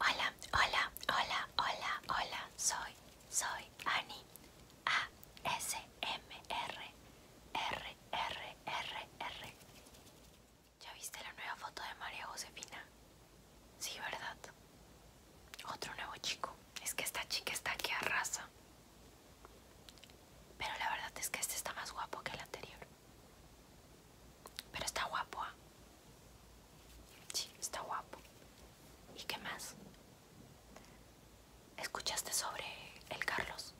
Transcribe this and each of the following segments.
Hola, hola, hola, hola, hola, soy, soy Ani A S M R R R R R ¿Ya viste la nueva foto de María Josefina? Sí, ¿verdad? Otro nuevo chico. Es que esta chica está a arrasa. Pero la verdad es que este está más guapo que el anterior. Pero está guapo, ¿ah? Sí, está guapo. ¿Y qué más? ¿Escuchaste sobre el Carlos?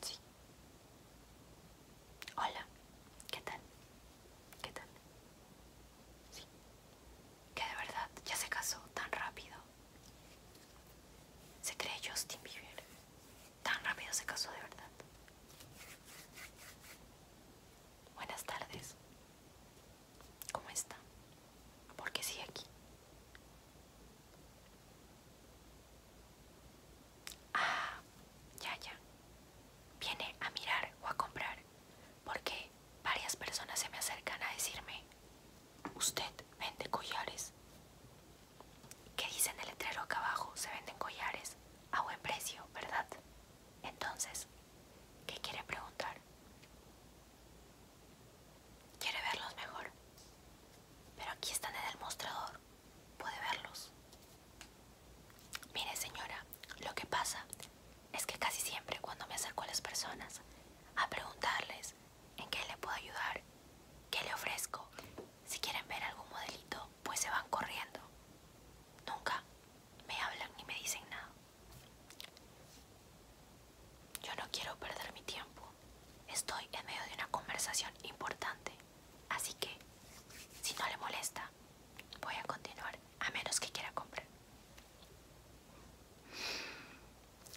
Sí. Hola, ¿qué tal? ¿Qué tal? Sí. Que de verdad ya se casó tan rápido. Se cree Justin Bieber. Tan rápido se casó de verdad. Buenas tardes. ¿Cómo está? Porque sí aquí? Ah, ya, ya. Viene a mirar o a comprar porque varias personas se me acercan a decirme, usted vende collares. ¿Qué dice en el letrero acá abajo? Se venden collares a buen precio, ¿verdad? Entonces, ¿qué quiere preguntar? Quiere verlos mejor. Pero aquí están en el mostrador. Puede verlos. Mire señora, lo que pasa es que casi siempre cuando me acerco a las personas a preguntarles en qué le puedo ayudar, qué le ofrezco, si quieren ver algún modelito, pues se van corriendo. Nunca me hablan y me dicen nada. Yo no quiero perder mi tiempo. Estoy en medio de una conversación importante. Así que, si no le molesta, voy a continuar a menos que quiera comprar.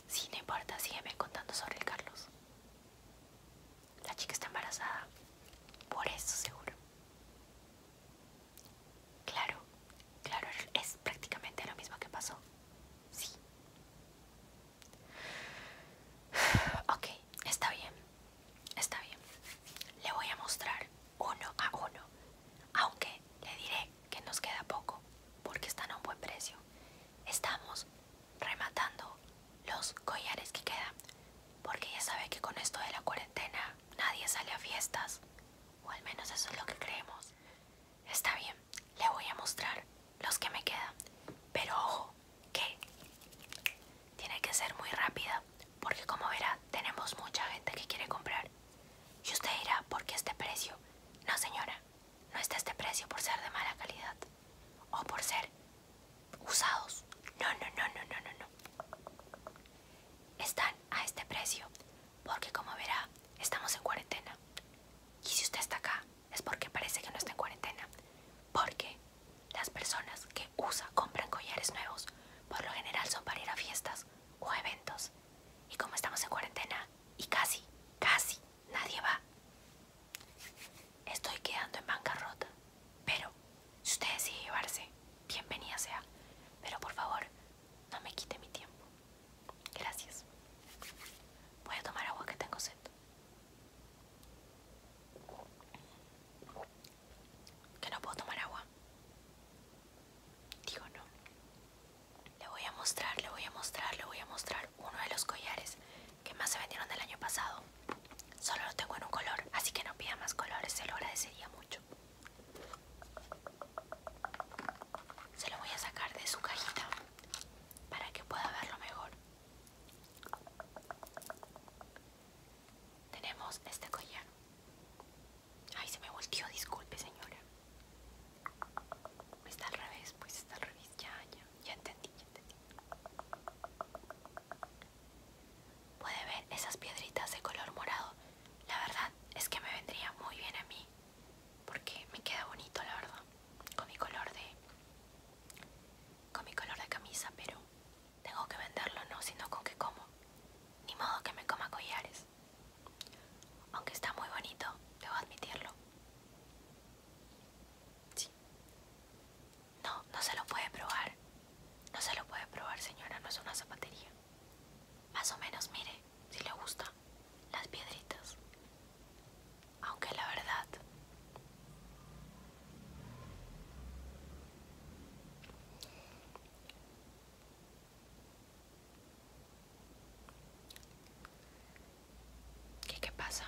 Si no importa, sígueme contando sobre el Carlos. La chica está embarazada. Por eso seguro. Claro, claro, es prácticamente lo mismo que pasó. Sí. Ok, está bien, está bien. Le voy a mostrar uno a uno, aunque le diré que nos queda poco, porque están a un buen precio. Estamos rematando los collares que quedan, porque ya sabe que con esto de la cuarentena nadie sale a fiestas, o al menos eso es lo que creemos. Está bien, le voy a mostrar los que me quedan, pero ojo, que tiene que ser muy rápida, porque como verá, tenemos mucha gente que quiere comprar. Y usted irá? porque este precio? No señora, no está este precio por ser de mala calidad, o por ser usados. No, no, no, no, no, no, no. Están a este precio porque como verá, estamos en cuarentena. Y si usted está acá es porque parece que no está en cuarentena. Porque las personas que usa compran collares nuevos por lo general son para ir a fiestas o eventos. Y como estamos en cuarentena y casi, casi nadie va, estoy quedando en bancarrota. Pero, si usted decide llevarse, bienvenida sea. Pero por favor, no me quite mi tiempo. Gracias. Voy a tomar agua que tengo sed. Que no puedo tomar agua. Digo no. Le voy a mostrar, le voy a mostrar, le voy a mostrar uno de los collares que más se vendieron del año pasado solo lo tengo en un color, así que no pida más colores, se lo agradecería mucho. Se lo voy a sacar de su cajita para que pueda verlo mejor. Tenemos este collar. Ay, se me volteó, disculpe señora. Está al revés, pues está al revés, ya, ya, ya entendí, ya entendí. Puede ver esas piedritas de color morado. La verdad es que me vendría muy bien a mí. Porque me queda bonito, la verdad. Con mi color de. Con mi color de camisa, pero. Tengo que venderlo, no, sino con que como. Ni modo que me coma collares. Aunque está muy bonito, debo admitirlo. No, no se lo puede probar. No se lo puede probar, señora, no es una zapatería. Más o menos, mire, si le gusta, las piedritas. Aunque la verdad... ¿Qué, qué pasa?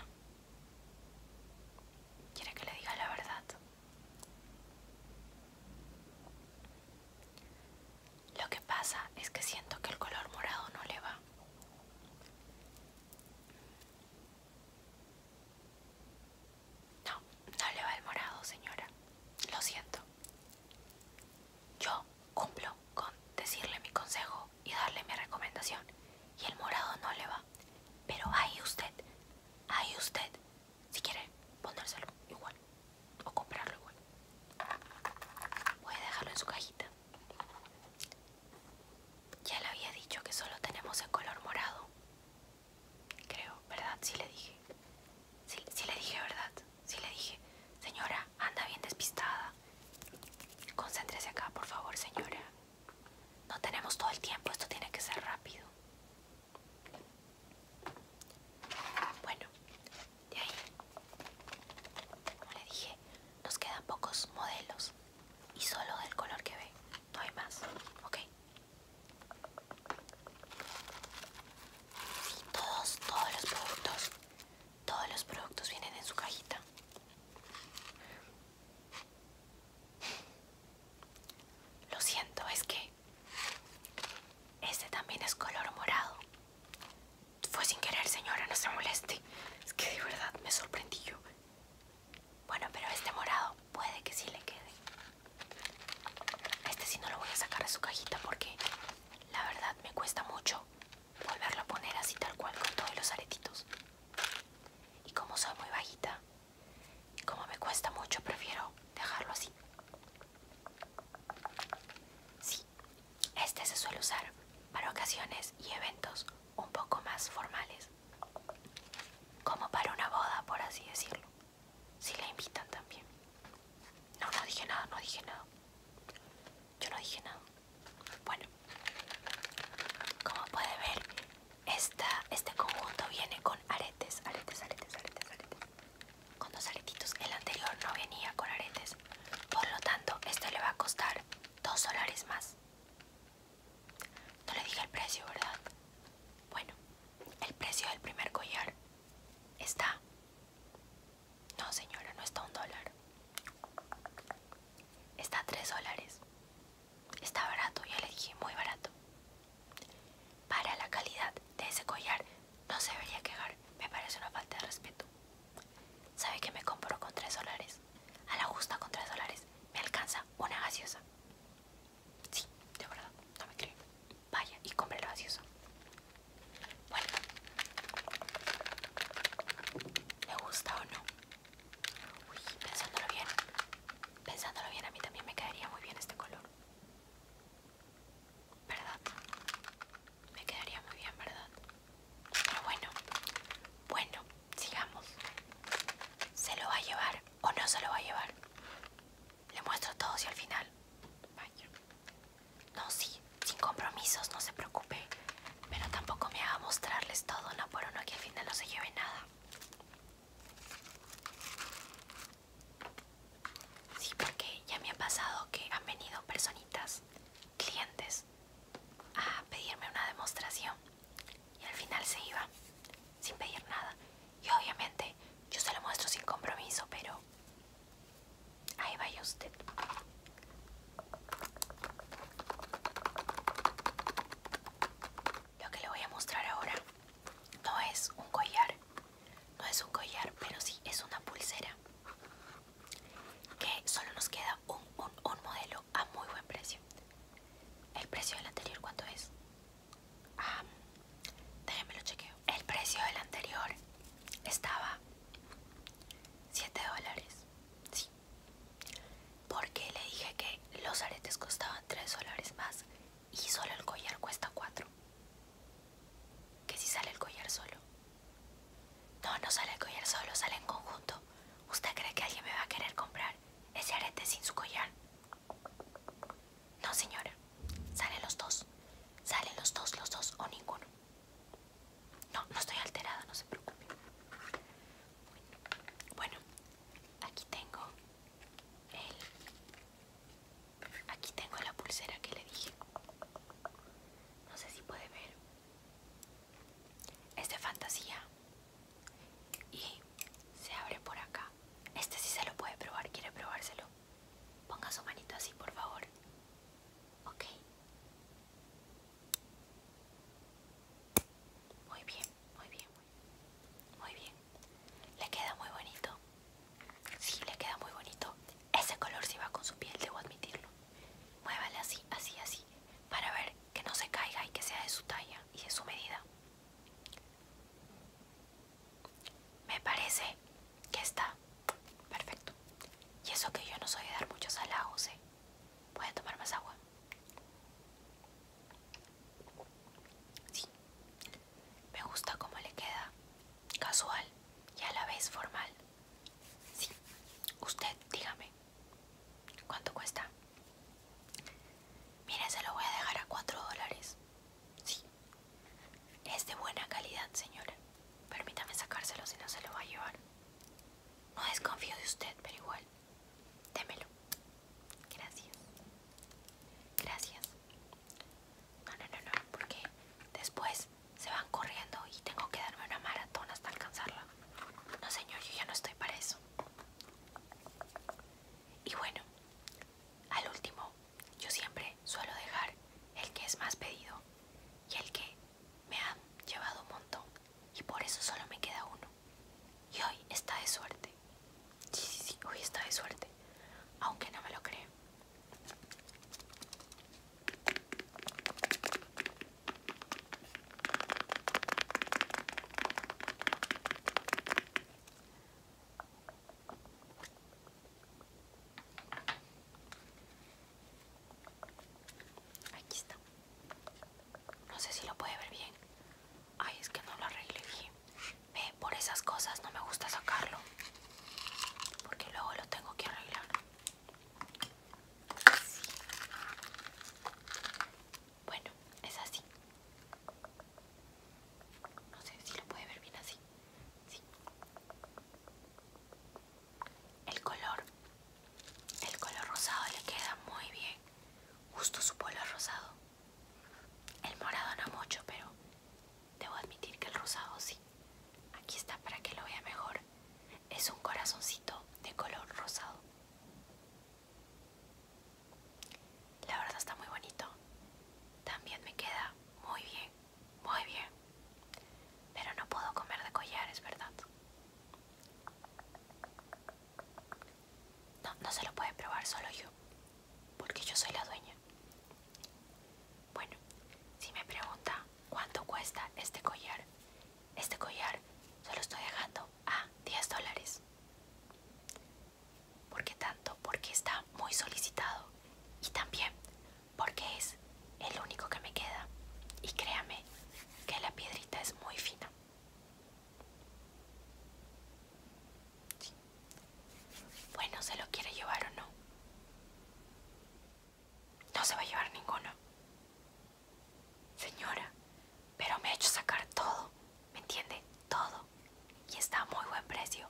¿Quiere que le diga la verdad? Lo que pasa es que siento que el color morado no le va. No, no le va el morado, señora. Lo siento. Yo cumplo con decirle mi consejo y darle mi recomendación. Y el morado no le va. Pero ahí usted, ahí usted si quiere ponérselo igual o comprarlo igual. puede dejarlo en su cajita. Ya le había dicho que solo tenemos el color morado. Creo, ¿verdad? Sí le dije. si sí le dije, ¿verdad? Sí le dije. Señora, anda bien despistada. Concéntrese acá, por favor, señora. No tenemos todo el tiempo, esto tiene que ser rápido. Bueno, de ahí, como le dije, nos quedan pocos modelos y solo del color que ve, no hay más, ¿ok? todos, todos los productos, todos los productos vienen en su cajita. Lo siento, es que este también es color morado. Fue sin querer, señora, no se moleste. Es que de verdad me sorprendí yo. Bueno, pero este morado puede que sí le quede. Este sí no lo voy a sacar de su cajita porque la verdad me cuesta mucho volverlo a poner así tal cual con todos los aretitos. Y como soy muy bajita, como me cuesta mucho, prefiero dejarlo así. Sí, este se suele usar para ocasiones y eventos un poco más formales. Como para una boda, por así decirlo. Si la invitan también. No, no dije nada, no dije nada. Yo no dije nada. Bueno, como puede ver, esta, este conjunto viene con aretes, aretes, aretes, aretes, Con dos aretitos. El anterior no venía con aretes. Por lo tanto, este le va a costar dos dólares más. No le dije el precio, ¿verdad? Bueno, el precio del primer collar está... No, señora, no está un dólar. Está a tres dólares. Está barato, ya le dije, muy barato. Para la calidad de ese collar no se debería quejar, me parece una falta de respeto. ¿Sabe que me compro con 3 dólares? A la justa con 3 dólares me alcanza una gaseosa. Sí, de verdad, no me Vaya y compre la gaseosa. Bueno, ¿le gusta o no? Uy, pensándolo bien, pensándolo bien, a mí también me quedaría muy bien este color. ¿Verdad? Me quedaría muy bien, ¿verdad? Pero bueno, bueno, sigamos. ¿Se lo va a llevar o no se lo va a llevar? Le muestro todo y al final. Vaya. No, sí, sin compromisos, no se preocupe. Pero tampoco me haga mostrarles todo, no por uno que al final no se lleve nada. Sí, porque ya me ha pasado que han venido personitas, clientes, a pedirme una demostración y al final se iba sin pedir nada. Y obviamente yo se lo muestro sin compromiso, pero ahí vaya usted. Lo que le voy a mostrar ahora no es un collar, no es un collar, pero sí es una pulsera que solo nos queda un, modelo a muy buen precio. ¿El precio del anterior cuánto es? déjenme lo chequeo. El precio del anterior estaba 7 dólares. Sí porque le dije que los aretes costaban 3 dólares más y solo el collar cuesta 4. ¿Qué si sale el collar solo. No, no sale el collar solo, sale en conjunto. ¿Usted cree que alguien me va a querer comprar ese arete sin su collar? No, señora. Salen los dos. Salen los dos, los dos o ninguno. No, no estoy alterada, no se preocupe. bueno aquí tengo Aquí tengo la pulsera que le dije. No sé si puede ver. Es fantasía. Y se abre por acá. Este sí se lo puede probar. ¿Quiere probárselo? Ponga su manito así, por favor. Ok. Muy bien, muy bien. Muy bien. Le queda muy bonito. Sí, le queda muy bonito. Ese color si va con su piel, debo admitirlo. Muévale así, así, así. Para ver que no se caiga y que sea de su talla y de su medida. Me parece que está perfecto. Y eso que yo no soy de dar muchos halagos, ¿eh? ¿Puede tomar más agua? Sí, me gusta cómo le queda, casual y a la vez formal. Sí, usted dígame, ¿cuánto cuesta? Mire, se lo voy a dejar a 4 dólares. Sí, es de buena calidad, señora. Permítame sacárselo si no se lo va a llevar. No desconfío de usted, pero igual. Démelo. Gracias. Gracias. No, no, no, porque después se van corriendo y tengo que darme una maratón hasta alcanzarla. No, señor, yo ya no estoy para eso. Y bueno, al último, yo siempre suelo dejar el que es más pedido y el que me ha llevado un montón y por eso solo me queda uno y hoy está de suerte. Sí, sí, sí, hoy está de suerte. Aunque no me lo creo. Aquí está. No sé si lo puede ver bien, Ay, es que no lo arregle bien. Ve, por esas cosas no me gusta sacarlo. Porque luego lo tengo que arreglar. Bueno, es así. No sé si lo puede ver bien así. Sí. El color. El color rosado le queda muy bien. Justo su polo rosado. El morado no mucho, pero debo admitir que el rosado sí. Aquí está para que lo vea mejor. Es un corazoncito de color rosado. La verdad está muy bonito. También me queda muy bien, muy bien. Pero no puedo comer de collares, ¿verdad? No, no se lo puede probar solo yo, porque yo soy la dueña. Bueno, si me pregunta cuánto cuesta este collar, este collar solo estoy dejando a 10 dólares. ¿Por qué tanto? Porque está muy solicitado y también porque es el único que me queda. Y créame que la piedrita es muy fina. Bueno, ¿se lo quiere llevar o no? No se va a llevar ninguno. Señora, pero me ha hecho sacar todo, ¿me entiende? Todo. Y está a muy buen precio.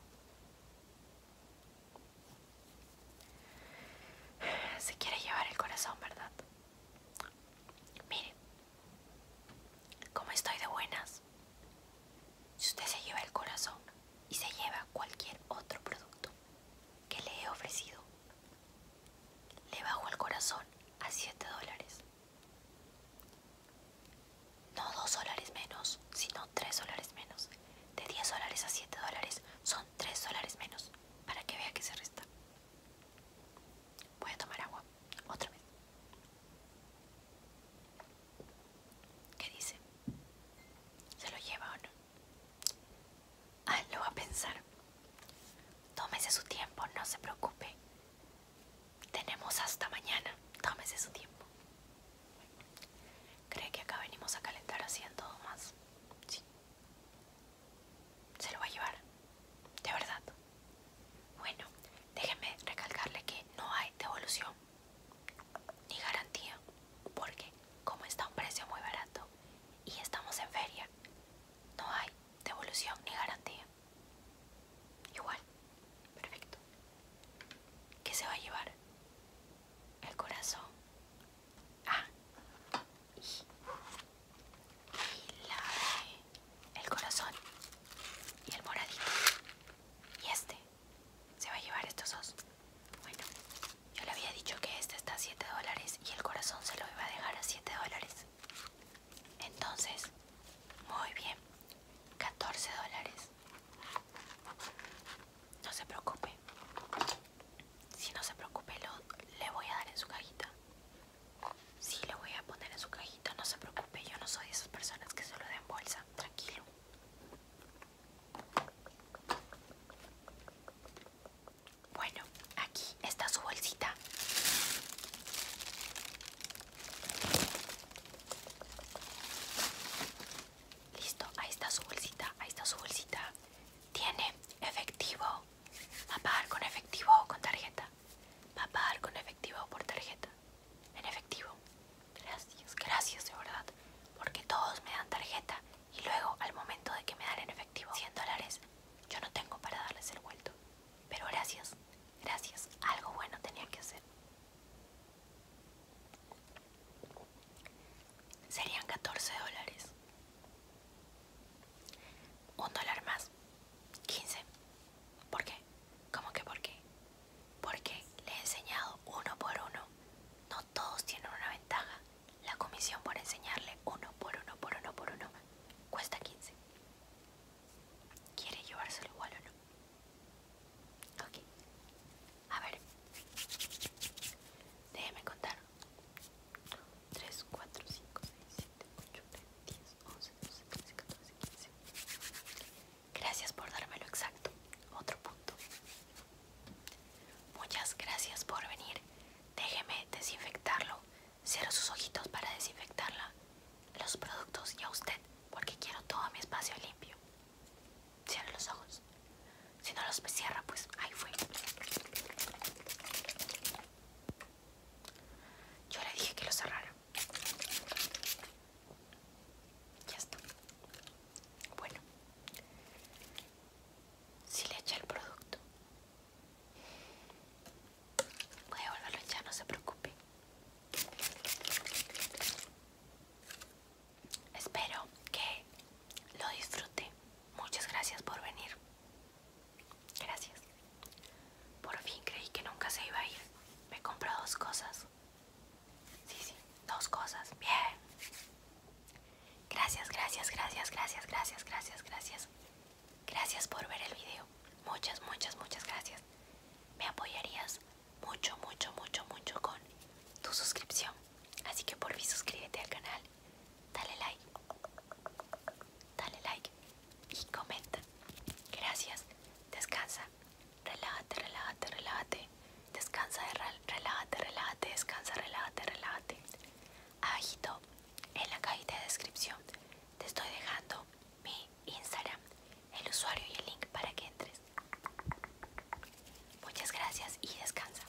Se quiere llevar el corazón, ¿verdad? Mire, como estoy de buenas, si usted se lleva el corazón y se lleva cualquier otro producto que le he ofrecido, le bajo el corazón a 7 dólares. No 2 dólares menos, sino 3 dólares menos. De 10 dólares a 7 dólares son 3 dólares menos, para que vea que se resta. Voy a tomar agua otra vez. ¿Qué dice? ¿Se lo lleva o no? Ah, lo va a pensar. Tómese su tiempo, no se preocupe. Tenemos hasta mañana. Tómese su tiempo. ¿Cree que acá venimos a calentar así en todo más? Sí se lo va a llevar. De verdad. Bueno, déjenme recalcarle que no hay devolución ni garantía. Porque como está a un precio muy barato y estamos en feria, no hay devolución ni garantía. Igual. Perfecto. ¿Qué se va a llevar? El corazón. Ah y la el corazón y el moradito y este se va a llevar estos dos bueno yo le había dicho que este está a 7 dólares y el corazón se lo iba a dejar a 7 dólares entonces muy bien 14 dólares no se preocupe si no se preocupe lo, le voy a dar en su cajita Sí, le voy a poner en su cajita, no se preocupe, yo no soy de esas personas que solo lo den bolsa, tranquilo. Bueno, aquí está su bolsita. Listo, ahí está su bolsita, ahí está su bolsita. Tiene efectivo. a pagar con efectivo o con tarjeta? ¿Va a pagar con efectivo o por tarjeta? En efectivo. Gracias, gracias de verdad. Porque todos me dan tarjeta y luego al momento de que me dan en efectivo 100 dólares, yo no tengo para darles el vuelto. Pero gracias, gracias. Algo bueno tenía que hacer. Serían 14 dólares. Un dólar más. 15. ¿Por qué? ¿Cómo que por qué? Porque le he enseñado uno por uno. No todos tienen una ventaja. La comisión por enseñarle uno por uno por uno por uno cuesta 15. ¿Quiere llevárselo igual o no? Ok. A ver. Déjeme contar. 3, 4, 5, 6, 7, 8, 9, 10, 11, 12, 13, 14, 15. Gracias por darme lo exacto. Otro punto. Muchas gracias por venir. Déjeme desinfectarlo. Cierro sus ojitos para desinfectarla, los productos y a usted, porque quiero todo mi espacio limpio. Cierra los ojos. Si no los cierra, pues ahí fue. Yo le dije que lo cerrara. Ya está. Bueno. Si le echa el producto. Voy a volverlo a echar, no se preocupe. Espero que lo disfrute. Muchas gracias por venir. Gracias. Por fin creí que nunca se iba a ir. Me compró dos cosas. Sí, sí, dos cosas. Bien. Gracias, gracias, gracias, gracias, gracias, gracias, gracias. Gracias por ver el video. Muchas, muchas, muchas gracias. Me apoyarías mucho, mucho, mucho, mucho con tu suscripción. Así que por fin suscríbete al canal. Dale like. Dale like. Y comenta. Gracias. Descansa. Relájate, relájate, relájate. Descansa, relájate, relájate. Descansa, relájate, relájate. Abajito, en la cajita de descripción, te estoy dejando mi Instagram, el usuario y el link para que entres. Muchas gracias y descansa.